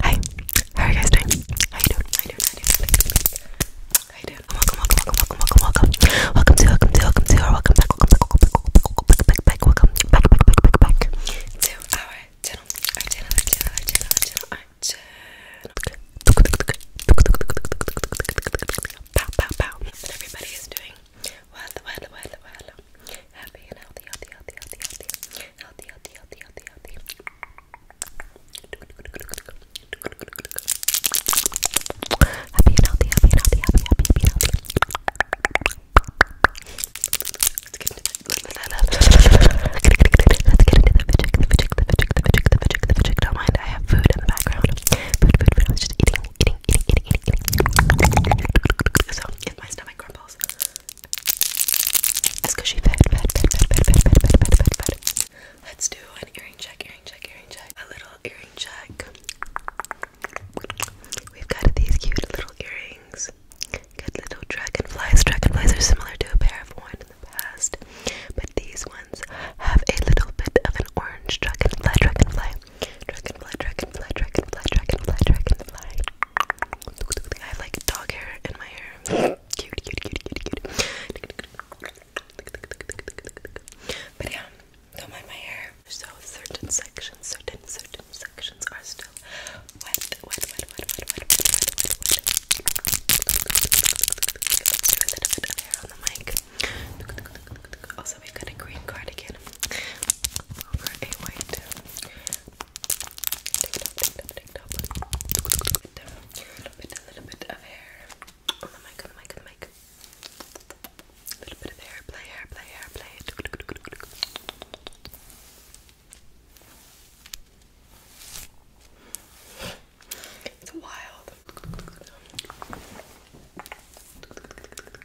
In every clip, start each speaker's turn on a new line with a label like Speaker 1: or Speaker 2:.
Speaker 1: Hi, how are you guys doing? How you doing? How you doing? How you doing? Welcome, welcome, welcome, welcome, welcome, welcome. Welcome to, welcome to, welcome to, or welcome back, welcome back, welcome back, welcome back, back, welcome back, back, back, back, back to our channel, our channel, our channel, our channel, our channel, our channel. Pow, pow, pow. But everybody is doing well, well, well, well. Happy and healthy, healthy, healthy, healthy, healthy healthy, healthy, healthy, healthy, healthy. Happy and healthy, happy and healthy, happy, happy, happy and healthy. Let's get into the Don't mind, I have food in the background. Food, food, food. I was just eating, eating, eating, eating, eating. So if my stomach grumbles, Let's do an earring check, earring check, earring check. A little earring check. We've got these cute little earrings. Good little dragonflies. Dragonflies are similar to a pair of have in the past, but these ones have a little bit of an orange dragonfly, dragonfly, dragonfly, dragonfly, dragonfly, dragonfly, dragonfly. I have like dog hair in my hair. cute, cute, cute, cute, cute. But yeah, don't mind my hair. So certain sections, certain certain sections are still wet, wet, wet, wet, wet, wet, wet, wet, wet, wet. Let's do a little bit of hair on the mic. Also, we've got a green cardigan over a white a little bit of hair on the mic, on the mic, on the mic. A little bit of hair, play hair, play hair, play. It's wild.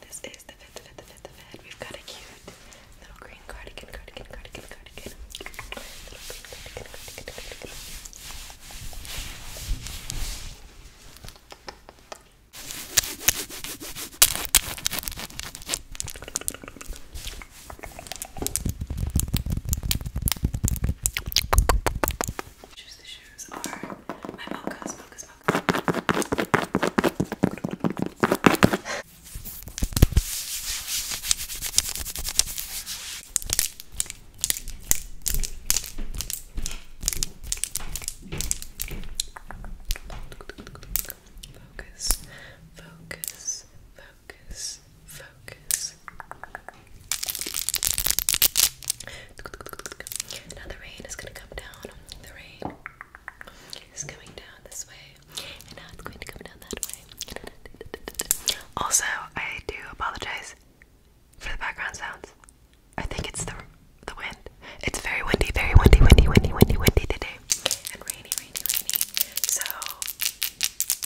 Speaker 1: This is the fifth, fifth, fifth, fifth. We've got a cute little green cardigan, cardigan, cardigan, cardigan. Little green cardigan, cardigan, cardigan. Choose the shoes are my mochas, mochas, mochas. Focus, focus, focus, focus. Now the rain is going to come down. The rain. It's coming down this way, and now it's going to come down that way. Also, I do apologize for the background sounds. I think it's the the wind. It's very windy, very windy, windy, windy, windy, windy today, and rainy, rainy, rainy. So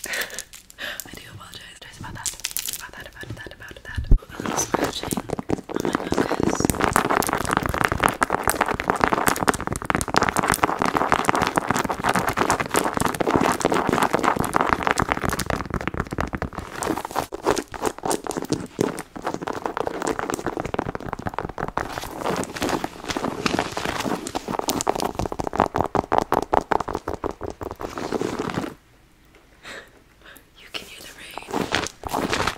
Speaker 1: I do apologize just about that, about that, about that, about that. A little scratching on my focus. You can hear the rain.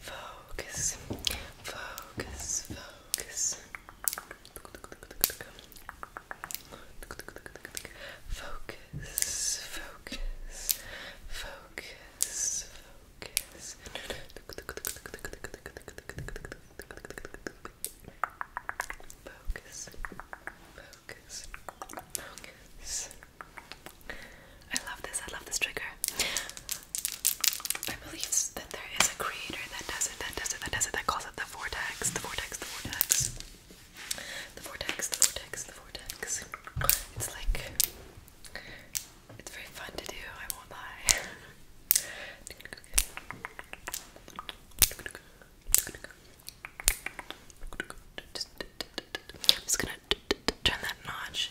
Speaker 1: Focus, focus, focus. Focus. Focus. Focus. Focus. Focus. Focus. Focus. Focus. I love this. I love this trigger. I believe that there is a creator that does it, that does it, that does it, that calls it the vortex, the vortex, the vortex. The vortex, the vortex, the vortex. It's like it's very fun to do, I won't lie. I'm just gonna turn that notch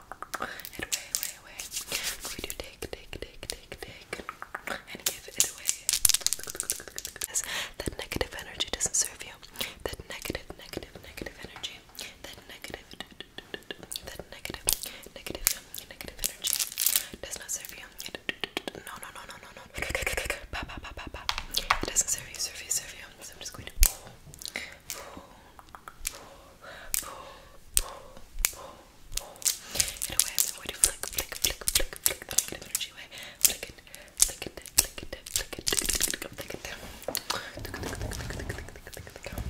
Speaker 1: it away, away, away. I'm take, take, take, take, take, and give it away. That negative energy doesn't serve you. That negative, negative, negative energy. That negative, that negative, negative, negative energy does not serve you. No, no, no, no, no, no. It doesn't serve you, serve you, serve you. So I'm just going to in a I'm going to flick, flick, flick, flick, flick, flick in an energy way. Flick it, flick it, flick it, flick it, flick it, flick it, flick it down. Flick, flick, flick, flick, flick, flick, flick, flick, flick, down. Okay,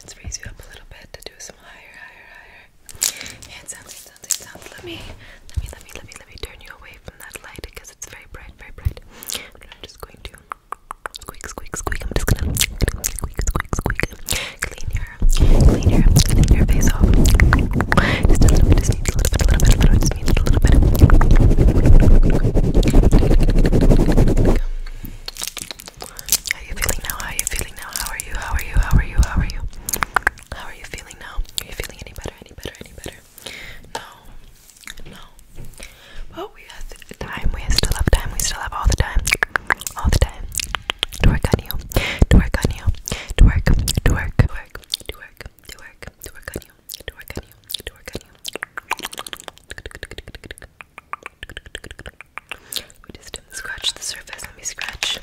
Speaker 1: Let's raise you up a little bit to do some higher, higher, higher. Hand sounds, hand sounds, hand sounds. Let me, let me, let me, let me, let me turn you away from that light because it's very bright, very bright. I'm just going to squeak, squeak, squeak. I'm just gonna squeak, squeak, squeak clean your, clean your, clean your face off. Just a just need a little bit, a little bit, a little bit, just need a little bit. How you feeling now? How you feeling now? How are you? How are you? How are you? How are you? How are you feeling now? Are you feeling any better? Any better? Any better? No, no. Well, we have time. We still have time. We still have all the time. All the time. Twerk on you. Twerk on you. Twerk. Twerk. Twerk. Twerk. Twerk. Twerk on you. Twerk on you. Twerk on you. We just didn't scratch the surface. Let me scratch at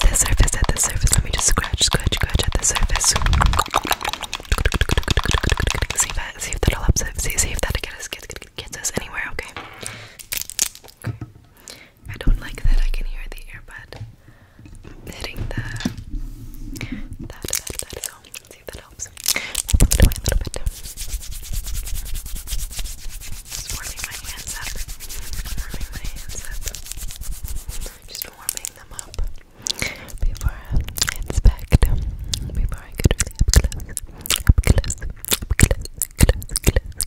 Speaker 1: the surface. At the surface. Let me just scratch, scratch, scratch at the surface. See if that, see if that'll upset. See, see if that gets us, gets, gets us anywhere. Okay. Okay. I don't like that I can hear the earbud hitting the that that so see if that helps. Move a little bit. warming my hands up. Warming my hands up. Just warming them up before I inspect. Before I get really up close. Up close. Up close. Close. Close.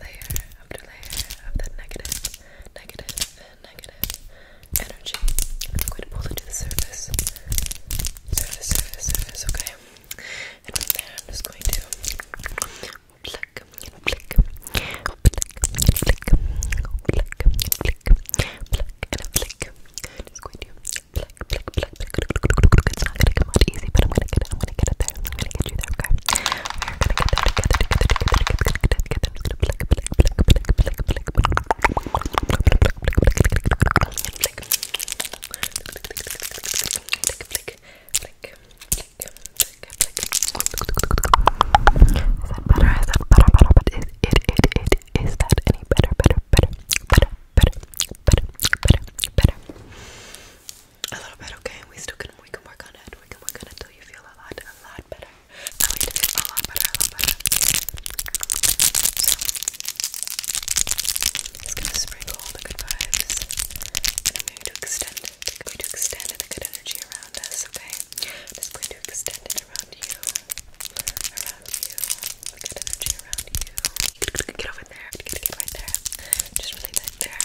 Speaker 1: layer after layer of that negative, negative, negative energy. I'm going to pull it to the surface. Surface, surface, surface, okay? And from there, I'm just going to pluck, pluck, pluck, pluck, pluck, pluck, pluck, and a flick. Just going to pluck, pluck, pluck, pluck, It's not going to come out easy, but I'm going to get it. I'm going to get it there. you that together, is that better, better, better, better, better, better, better? a little bit, okay? We still can we can work on it. We can work on it till you feel a lot, a lot better. I like to feel a lot better, a lot better. So it's gonna sprinkle all the good vibes. And I'm going to extend it. I'm going to extend the good energy around us, okay? I'm just going to extend it around you. Around you. The good energy around you. Get over there. Get, get right there. Just really right there.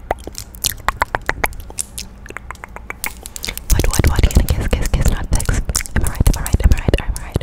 Speaker 1: What, what, what? You're gonna kiss, kiss, kiss, not sex. Am I right? Am I right? Am I right? Am I right?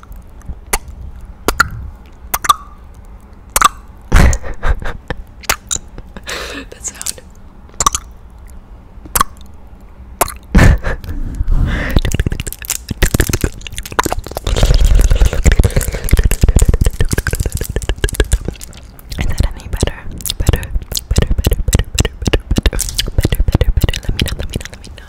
Speaker 1: that sound. Is that any better? Better, better, better, better, better, better, better, better, better, better. Let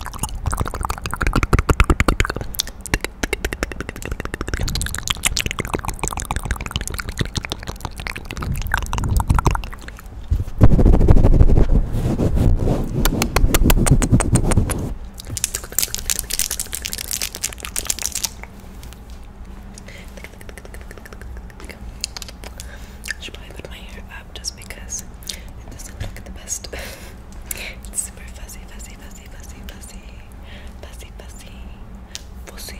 Speaker 1: I should probably put my hair just because it doesn't look the best. it's super fuzzy, fuzzy, fuzzy, fuzzy, fuzzy, fuzzy, fuzzy, fuzzy,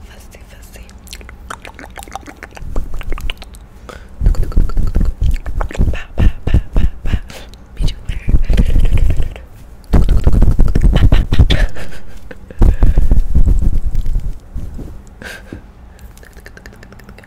Speaker 1: fuzzy, fuzzy. Pow, pow, pow, pow, pow. Me too.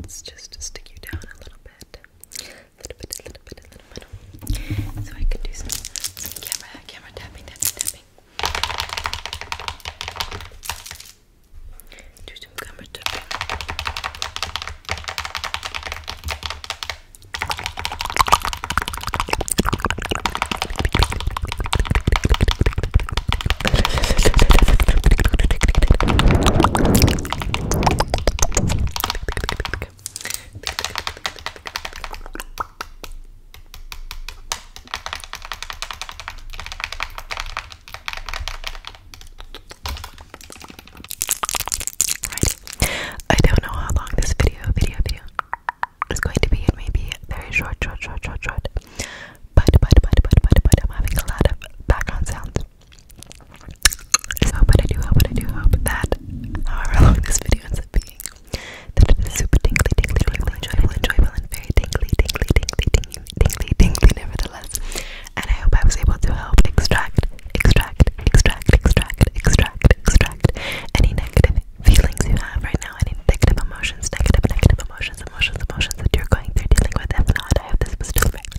Speaker 1: Let's just stick you down a little bit. A little bit, a little bit, a little bit. So I can do some, some camera, camera tapping, tapping, tapping. Do some camera tapping. I don't know how long this video, video, video is going to be. It may be very short, short, short, short, short. But, but, but, but, but, but, I'm having a lot of background sounds. So, but I do hope, but I do hope that however long this video ends up being, that it is super tingly, tingly, tingly, enjoyable, enjoyable, and very tingly, tingly, tingly, tingly, tingly, tingly, nevertheless. And I hope I was able to help extract, extract, extract, extract, extract, extract any negative feelings you have right now, any negative emotions, negative, negative emotions, emotions, emotions that you're going through, dealing with. If not, I hope this was just right.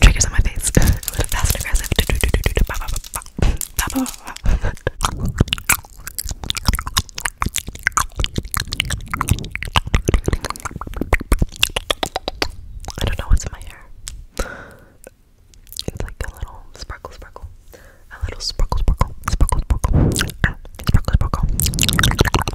Speaker 1: Triggers on my face. fast and aggressive. I don't know what's in my hair. It's like a little sparkle, sparkle. A little sparkle, sparkle, sparkle, sparkle, sparkle, sparkle.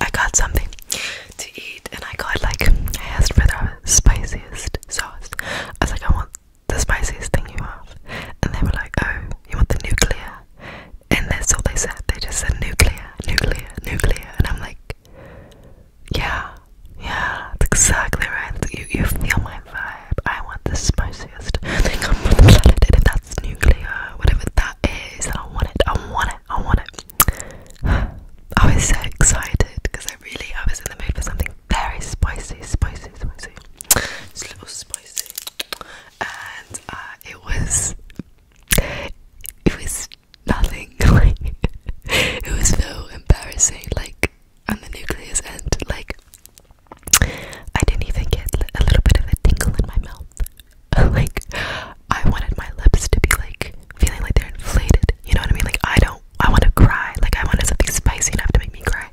Speaker 1: I got something to eat and I got like I asked for the spiciest sauce. I was like, I want the spiciest thing you have. And they were like, Oh, you want the nuclear? And that's all they said. They just said nuclear, nuclear, nuclear. And I'm like, Yeah, yeah, that's exactly right. You you feel my vibe. I want the spiciest thing on the planet. And if that's nuclear, whatever that is. I want it, I want it, I want it. I was so excited because I really I was in the mood for something very spicy, spicy, spicy. Just a little spicy. And uh, it was it was nothing it was so embarrassing like on the nuclear end like I didn't even get a little bit of a tingle in my mouth. like, I wanted my lips to be like feeling like they're inflated. You know what I mean? Like, I don't, I want to cry. Like, I wanted something spicy enough to make me cry.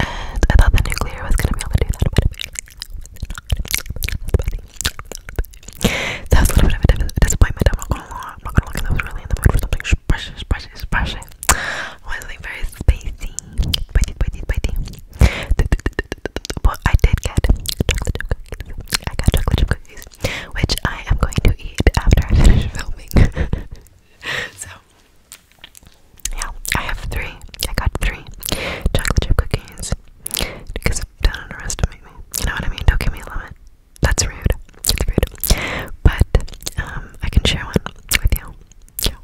Speaker 1: And I thought the nuclear was gonna be able to do that, but so that was a little bit of a dis disappointment. I'm not gonna lie. I'm not gonna lie. I was really in the mood for something spicy, spicy, spicy. I was like very spicy, spicy, spicy, spicy. But I did get chocolate chip cookies. got chocolate chip cookies, which I am going to eat after I finish filming. so, yeah, I have three. I got three chocolate chip cookies because don't underestimate me. You know what I mean? Don't give me a limit. That's rude. It's rude. But um, I can share one with you yeah,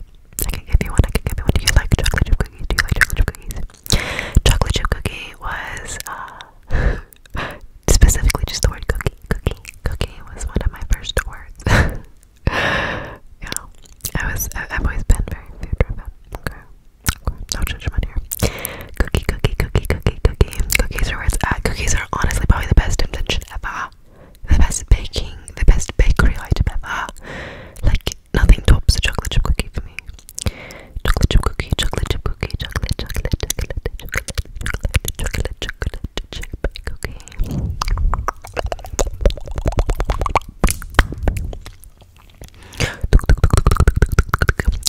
Speaker 1: I can give you one, I can give you one, do you like chocolate chip cookies, do you like chocolate chip cookies? Chocolate chip cookie was, uh, specifically just the word cookie, cookie, cookie was one of my first words, yeah, I was, I, have always been very food driven, okay, okay, no judgment here, cookie, cookie, cookie, cookie, cookie, cookies are where it's at, uh, cookies are honestly probably the best invention ever, the best baking, the best bakery item ever. Like nothing tops a chocolate chip cookie for me. Chocolate chip cookie, chocolate chip cookie, chocolate, chocolate, chocolate, chocolate, chocolate, chocolate, chocolate chip cookie.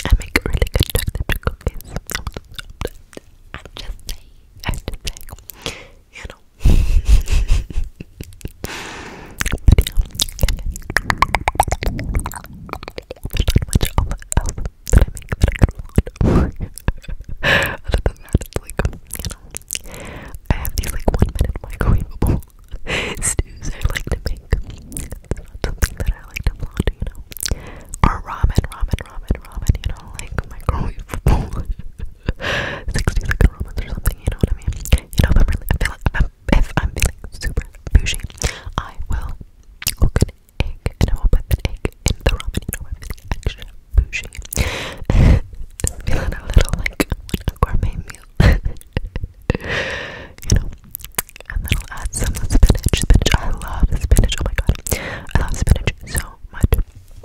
Speaker 1: I make really good chocolate chip cookies. I'm just saying, I'm just saying, you know. I have these like one minute microwavable stews I like to make. It's not something that I like to vlog, you know. Or ramen, ramen, ramen, ramen, you know, like microwavable. 60 second romance or something, you know what I mean? You know, i feel like if I'm, feeling super bougie, I will cook an egg and I will put an egg in the ramen, you know, I'm feeling extra bougie. feeling a little like a gourmet meal. you know, and then I'll add some spinach. Spinach, I love spinach. Oh my god, I love spinach so much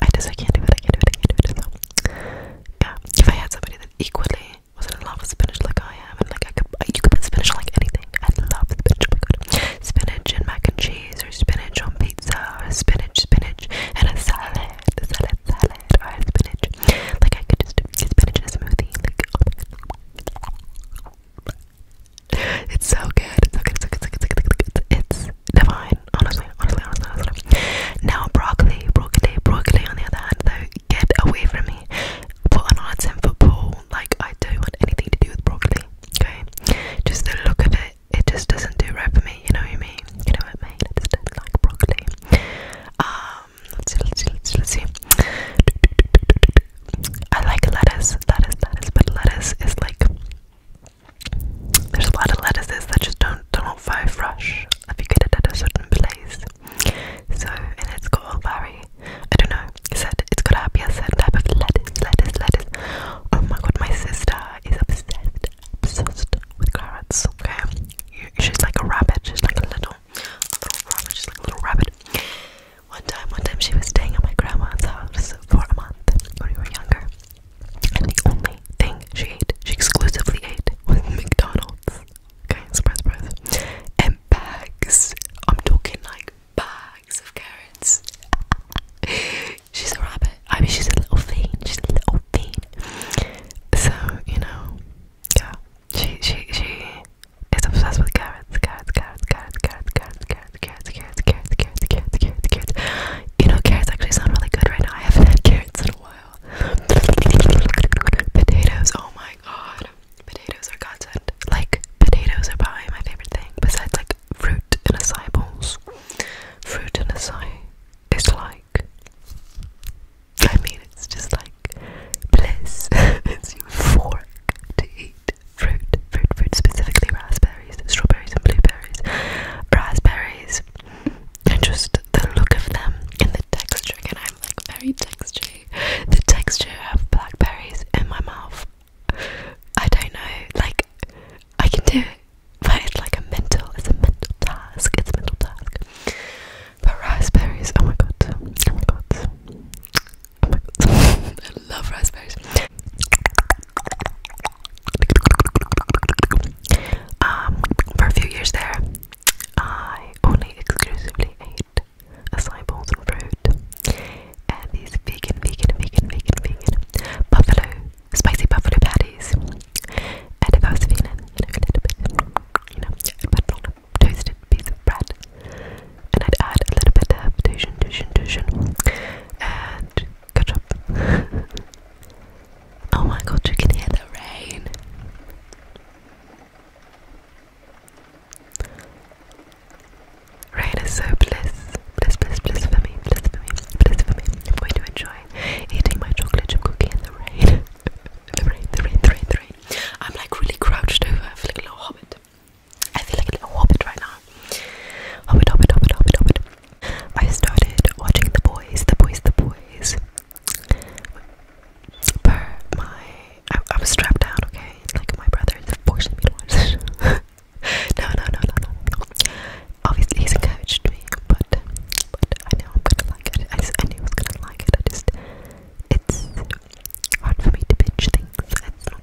Speaker 1: I just I can't do it. I can't do it. I can't do it. yeah, if I had somebody that equally was in love with spinach like I am, and like I could, you could put spinach like anything. I love spinach. Oh spinach and mac and cheese, or spinach on pizza, or spinach, spinach and a salad, salad, salad, or spinach. Like I could just do spinach in a smoothie. Like oh it's so good. It's so good. It's so good. It's, so good. it's, so good. it's, it's divine. Honestly, honestly, honestly, honestly. Now broccoli, broccoli, broccoli. On the other hand, though, get away from me. Put an odds in football. Like I don't want anything to do with broccoli. Okay, just the look of it. It just doesn't do right for me. You know what I mean? You know what I mean? I just don't like broccoli. Um, let's see, let's see, let's see. Let's see. I like lettuce, lettuce, lettuce, but lettuce is like there's a lot of lettuces that just don't don't five fresh if you get it at a certain place. So and it's called Barry, I don't know. It said it's got a certain type of lettuce, lettuce, lettuce. Oh my god, my sister is obsessed, obsessed with carrots. Okay, she's like a rabbit. She's like a little, little rabbit. She's like a little rabbit. One time, one time she was staying at my grandma's house for a month when we were younger. And the only thing she ate, she exclusively ate, was McDonald's. Okay, surprise, surprise. And bags. I'm talking like bags of carrots. she's a rabbit. I mean, she's a little fiend. She's a little fiend. So, you know, yeah. She, she, she is obsessed with carrots, carrots, carrots, carrots, carrots, carrots, carrots cats, cats, cats, cats, cats, cats, cats, cats. You know, carrots actually sound really good right now. I haven't had carrots in a while. Potatoes, oh my god. Potatoes are godsend. Like, potatoes are probably my favorite thing, besides like fruit and acai bowls. Fruit and acai is like, I mean, it's just like bliss. it's euphoric to eat fruit, fruit, fruit, specifically raspberries, strawberries, and blueberries. Raspberries, and just the look of them and the texture. Again, I'm like very textury. The texture of blackberries in my mouth. I don't know. Like, I can do it, but it's like a mental, it's a mental task. It's a mental task. But raspberries, oh my god, oh my god. I love raspberries. Um, for a few years there, I only exclusively ate acai bowls and fruit, and these vegan, vegan, vegan, vegan, vegan buffalo, spicy buffalo patties. And if I was feeling you know, a little toasted piece of bread, and I'd add a little bit of tuition, tuition, tuition, and and catch oh my god, you can hear the rain. Rain is so bliss. Bliss, bliss, bliss for me. Bliss for me. Bliss for me. I'm going to enjoy eating my chocolate chip cookie in the rain. the rain, the rain, the rain, the rain. I'm like really crouched over. like a little hobbit. I feel like a little hobbit right now. Hobbit, hobbit, hobbit, hobbit, hobbit. I started watching The Boys, The Boys, The Boys. Per my, I, I was strapped down, okay? Like my brother forced me to watch this. no, no, no, no, no, Obviously, he's encouraged me, but, I know I'm gonna like it. I, just, knew I was gonna like it. I just, it's hard for me to binge things. It's not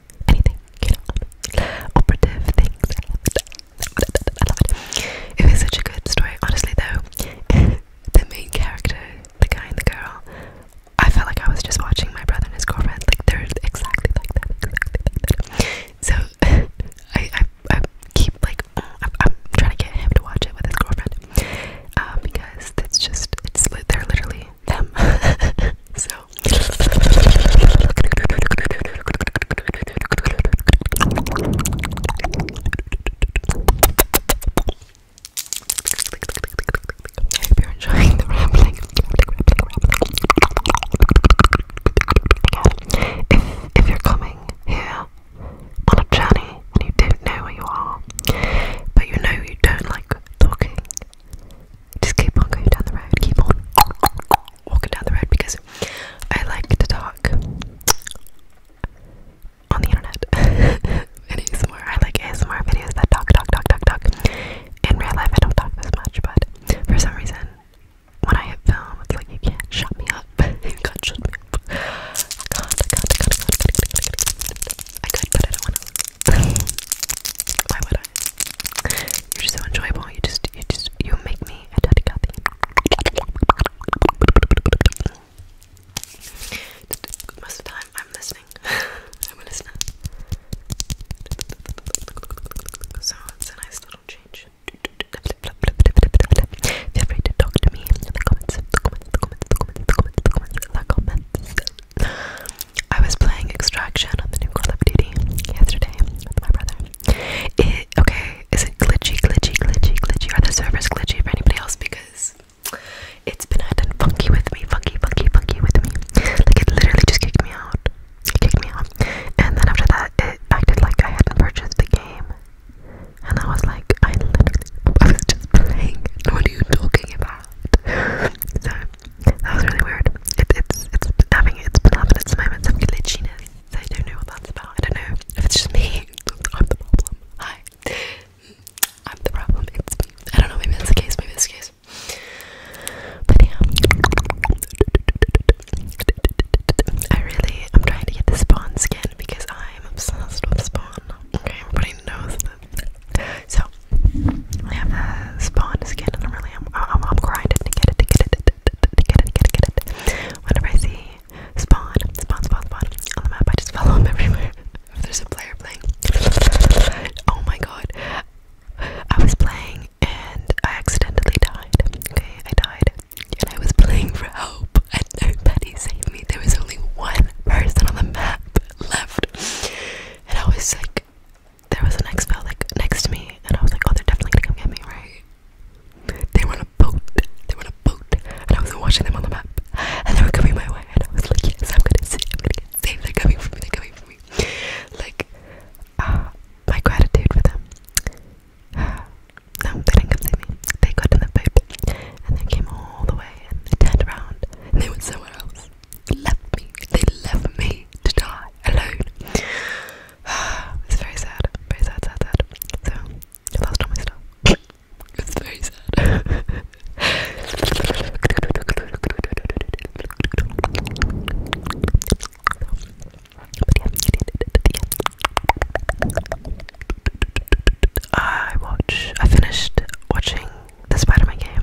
Speaker 1: anything, operative things. I love it. it. was such a good story. Honestly, though, the main character, the guy and the girl, I felt like I was just watching my brother and his girlfriend. Like they're exactly like that. Exactly like that. So I, I, keep like I'm, trying to get him to watch it with his girlfriend uh, because it's just it's they're literally them. so I hope you're enjoying the rambling. If, if you're coming here on a journey and you don't know where you are, but you know you don't like talking, just keep on going down the road, keep on walking down the road because I like to talk on the internet and ASMR. I like ASMR videos that talk, talk, talk, talk, talk. In real life, I don't talk this much, but for some reason, when I film, it's like you can't shut me up. you can't shut me up. God, God, God, God, God, God, God, God, God. I could, but I don't want to. Why would you're so enjoyable. You just, you just, you make me a daddy Kathy. Most of the time, I'm listening. I'm a So it's a nice little change. Feel free to talk to me in the comments. The comments. The comments. The comments. The comments. The comments. comments. I was playing Extraction on the new Call of Duty yesterday with my brother. It, okay, is it glitchy, glitchy, glitchy, glitchy? Are the servers glitchy for anybody else? Because it's been acting funky with me, funky, funky, funky with me. Like it literally just kicked me out. kicked me out. And then after that, it acted like I hadn't purchased the game. And I was like, I I was just playing. What are you talking about? so that was really weird. It, it's it's been having it's been having its moments of glitchiness. I don't know what that's about. I don't know if it's just me. I'm the problem. Hi, I'm the problem. It's me. I don't know. Maybe that's the case. Maybe that's the case. But yeah, I really I'm trying to get the Spawn skin because I'm obsessed with Spawn. Okay, everybody knows so I have a spawn skin, and I'm really I'm, grinding to get it, to get it, to get it, to get it, to get it. Whenever I see spawn, spawn, spawn, spawn on the map, I just follow him everywhere. If there's a player playing, oh my god, I was playing and I accidentally died. Okay, I died, and I was playing for help, and nobody saved me. There was only one person on the map left, and I was like there was an expo like next to me, and I was like, oh, they're definitely gonna come get me, right? They were on a boat. They were on a boat, and I was watching them on the map, and they were coming my way, and I was like, yes, I'm gonna see, them. They're coming for me. They're coming for me. Like, ah, my gratitude for them. Uh, they didn't come save me. They got in the boat, and they came all the way, and they turned around, and they went somewhere else left me. They left me to die alone. it's very sad. Very sad, sad, sad. So, last time I stuff. It's very sad. I watch. I finished watching the of my game.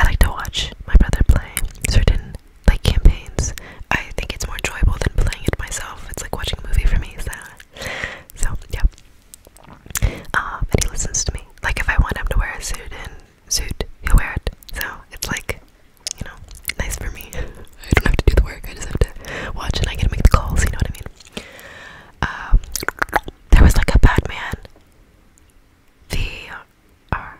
Speaker 1: I like to watch my brother play certain like campaigns. I think it's more enjoyable than playing it myself. It's like watching a movie for me. So, so yeah. and uh, he listens to me. Like if I want him to wear a suit and suit, he'll wear it. So it's like, you know, nice for me. I don't have to do the work. I just have to watch, and I get to make the calls. You know what I mean? Um, there was like a Batman VR uh,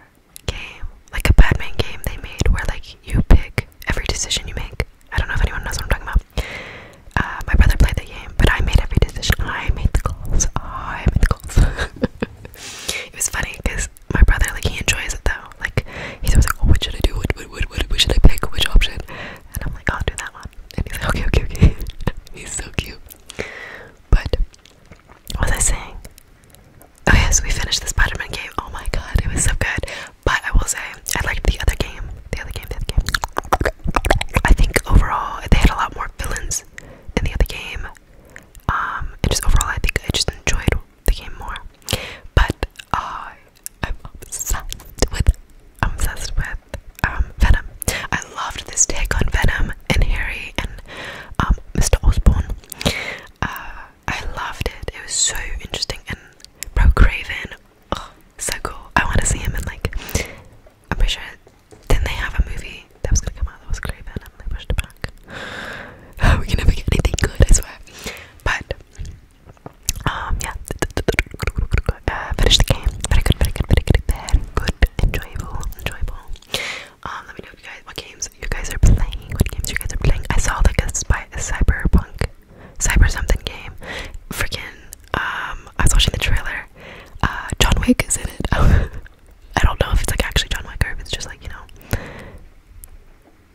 Speaker 1: game, like a Batman game they made where like you pick every decision you make. I don't know if anyone knows what I'm talking about. Uh, my brother played the game, but I made every decision. I made the calls. I made the calls. it was funny because my brother, like, he enjoys it though. Like, he's always like, oh, what should I do? what, what, what, what should I pick? Which option? And I'm like, I'll do that one. And he's like, okay, okay, okay. he's so cute. But what was I saying? Oh yes, we finished the Spider-Man game. Oh my god, it was so good. But I will say, I liked the other game. The other game, the other game. I think overall they had a lot more villains in the other game. Um, and just overall I think I just enjoyed the game more. But uh, I'm obsessed with obsessed with um Venom. I loved this take on Venom and Harry and um, Mr. Osborne. Uh, I loved it. It was so interesting and Bro Craven, oh, so cool. I want to see him in like. I'm pretty sure. Didn't they have a movie that was gonna come out that was Craven and they pushed it back? Oh, we can never get anything good, I swear. But um, yeah. Uh, finish the game. Very good, very good, very good, very good. Enjoyable, enjoyable. Um, let me know what games you guys are playing. What games you guys are playing? I saw like a cyberpunk, cyber something game. Freaking um, I was watching the trailer. Uh, John Wick is in it. I don't know if it's like actually John Wick or if it's just like you know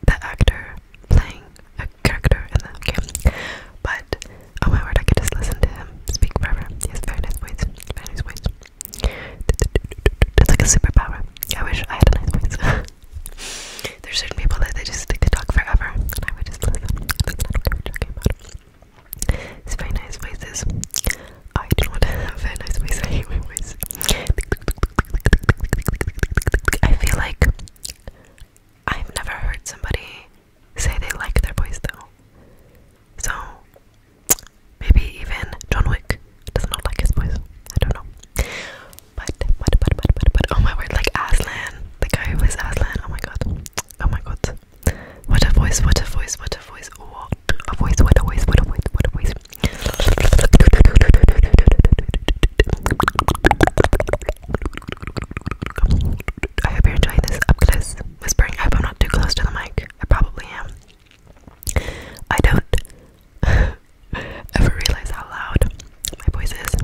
Speaker 1: the actor playing a character in the game. But oh my word, I could just listen to him speak forever. He very nice voice. Very nice voice. It's like a superpower. I wish I had a nice voice. There's certain people that just could talk forever, and I would just That's not what we were talking about. It's very nice voices. I don't have very nice voice. I feel like I've never heard somebody say they like their voice though. So maybe even John Wick does not like his voice. I don't know. But but but but but but oh my word, like Aslan, the guy who plays Aslan. Oh my god. Oh my god. What a voice, what a voice, what a voice, what a voice, what a voice, what a voice, what a voice. I hope you're enjoying this up close whispering. I hope I'm not too close to the mic. I probably am. I don't ever realize how loud my voice is,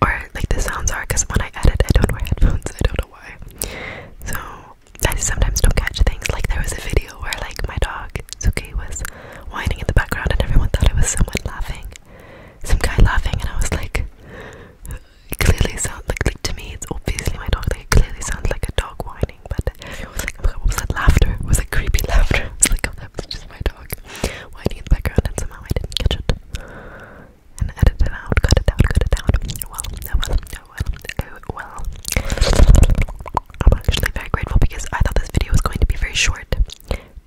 Speaker 1: or like the sounds are, because when I edit, I don't wear headphones. I don't know why. So I sometimes don't catch things. Like there was a video where like my dog Suki was whining in the background, and everyone thought it was someone laughing, some guy laughing, and I was like, it clearly sounds like, to me it's obviously my dog it clearly sounds like a dog whining but it was like what was that laughter it was like creepy laughter it's like oh, was just my dog whining in the background and somehow I didn't catch it and edit out cut it out cut it out well oh well oh well I'm actually very grateful because I thought this video was going to be very short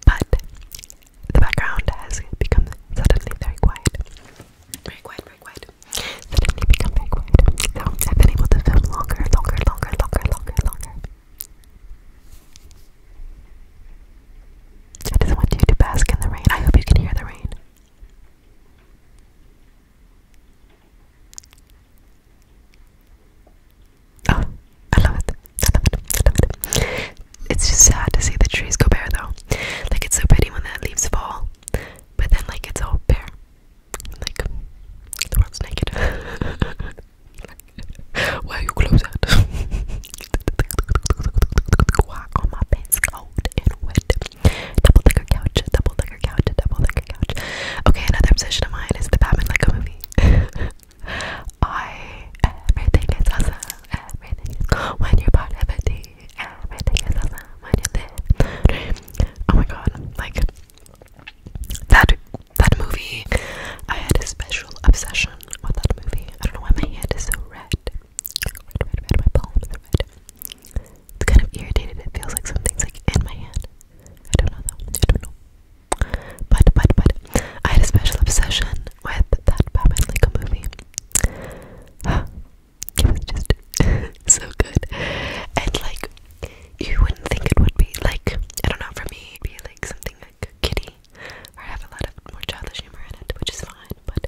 Speaker 1: but the background has become suddenly very quiet very quiet, Suddenly become very I've able to film longer, longer, longer, longer, longer, longer. I just want you to bask in the rain. I hope you can hear the rain. Oh, I love it. I love it. I love it. It's just sad to see the trees go bare though. Like it's so pretty when the leaves fall. But then, like, it's all bare. Like, the world's naked. Why are you close out? my pants cold and wet? Double decker couch, double decker couch, double decker couch. Okay, another obsession of mine is the Batman Lego movie. I everything is awesome. Everything is when you're part Oh my god, like that that movie I had a special obsession with that movie. I don't know why my hand is so red. Red, red, red, my palms are red. It's kind of irritated, it feels like something's like in my hand. I don't know though. I don't know. But but but I had a special obsession with that Batman movie it was just so good. And like you wouldn't think it would be like I don't know, for me it'd be like something like kitty or have a lot of more childish humor in it, which is fine, but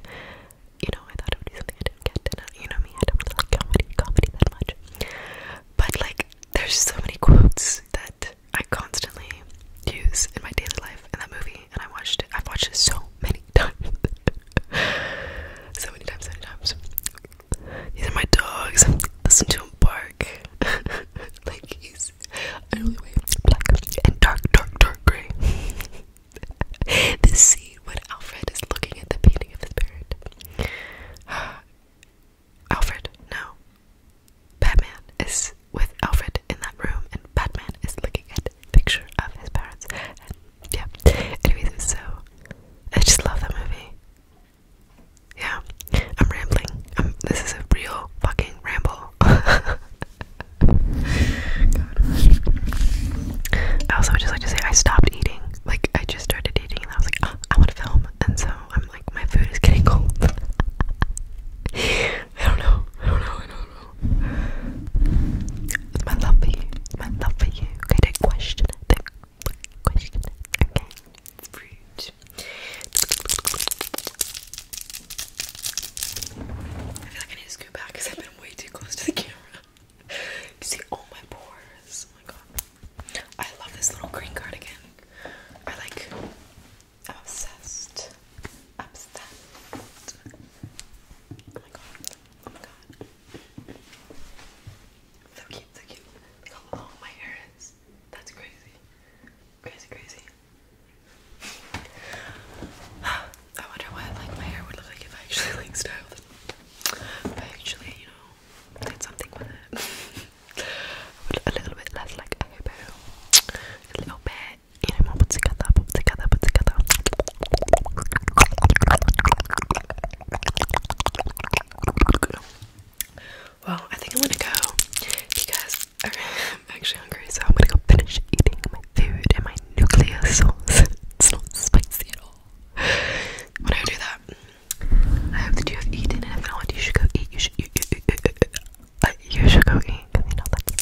Speaker 1: you know, I thought it would be something I didn't get and uh, you know me, I don't really like comedy comedy that much. But like there's so many quotes that I constantly use in my daily life in that movie and I watched it I've watched it so many times. so many times, so many times. These are my dogs. Listen to him bark. like he's only way black and dark, dark, dark gray. this scene when Alfred is looking at the painting of his parents. Alfred, no. Batman is with Alfred in that room, and Batman is looking at a picture of his parents, yeah. Anyways, so I just love that movie. Yeah, I'm rambling. this is a real fucking ramble. God. I just like to say I stopped eating. Like I just started eating, and I was like, ah, I want to film, and so I'm like, my food is getting cold. I don't know. I don't know. It's my love for you. It's my love for you. Okay, question Okay. I feel like I need to scoot back because I've been way too close to the camera. You see all my pores. Oh my god. I love this little green cardigan. I like I'm obsessed. Obsessed. Oh my god. Oh my god. So cute, so cute. Look how long my hair is. That's crazy. Crazy, crazy. I wonder what like my hair would look like if I actually like styled it. If I actually, you know, did something with it. a little bit less like a hippo. A little bit well, I think I'm gonna go because I'm actually hungry, so I'm gonna go finish eating my food and my nuclear sauce. it's not spicy at all. When I do that, I hope that you have eaten, if not, you should go eat. You should, you, should go eat you know that's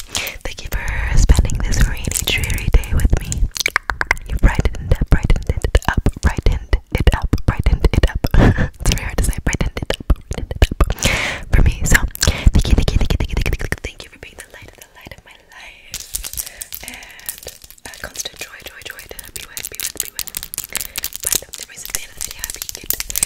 Speaker 1: Thank you for spending this rainy, dreary day with me. You brightened, brightened it up, brightened it up, brightened it up. it's very hard to say, brightened it up, brightened it up for me. So, thank you, thank you, thank you, thank you, thank you, thank you for being the light of the light of my life and a uh, constant joy, joy, joy to be with, be with, be with. But the end of the video, I hope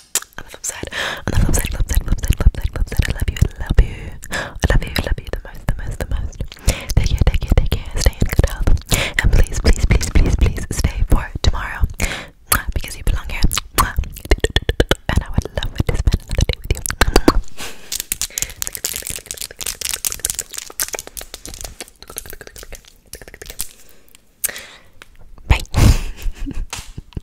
Speaker 1: on the flip side, on the flip side, flip side, flip side, flip side, flip side, I love you, love you, love you, love you the most, the most, the most. Take care, take care, take care, stay in good health, and please, please, please, please, please stay for tomorrow, because you belong here, and I would love to spend another day with you. Bye.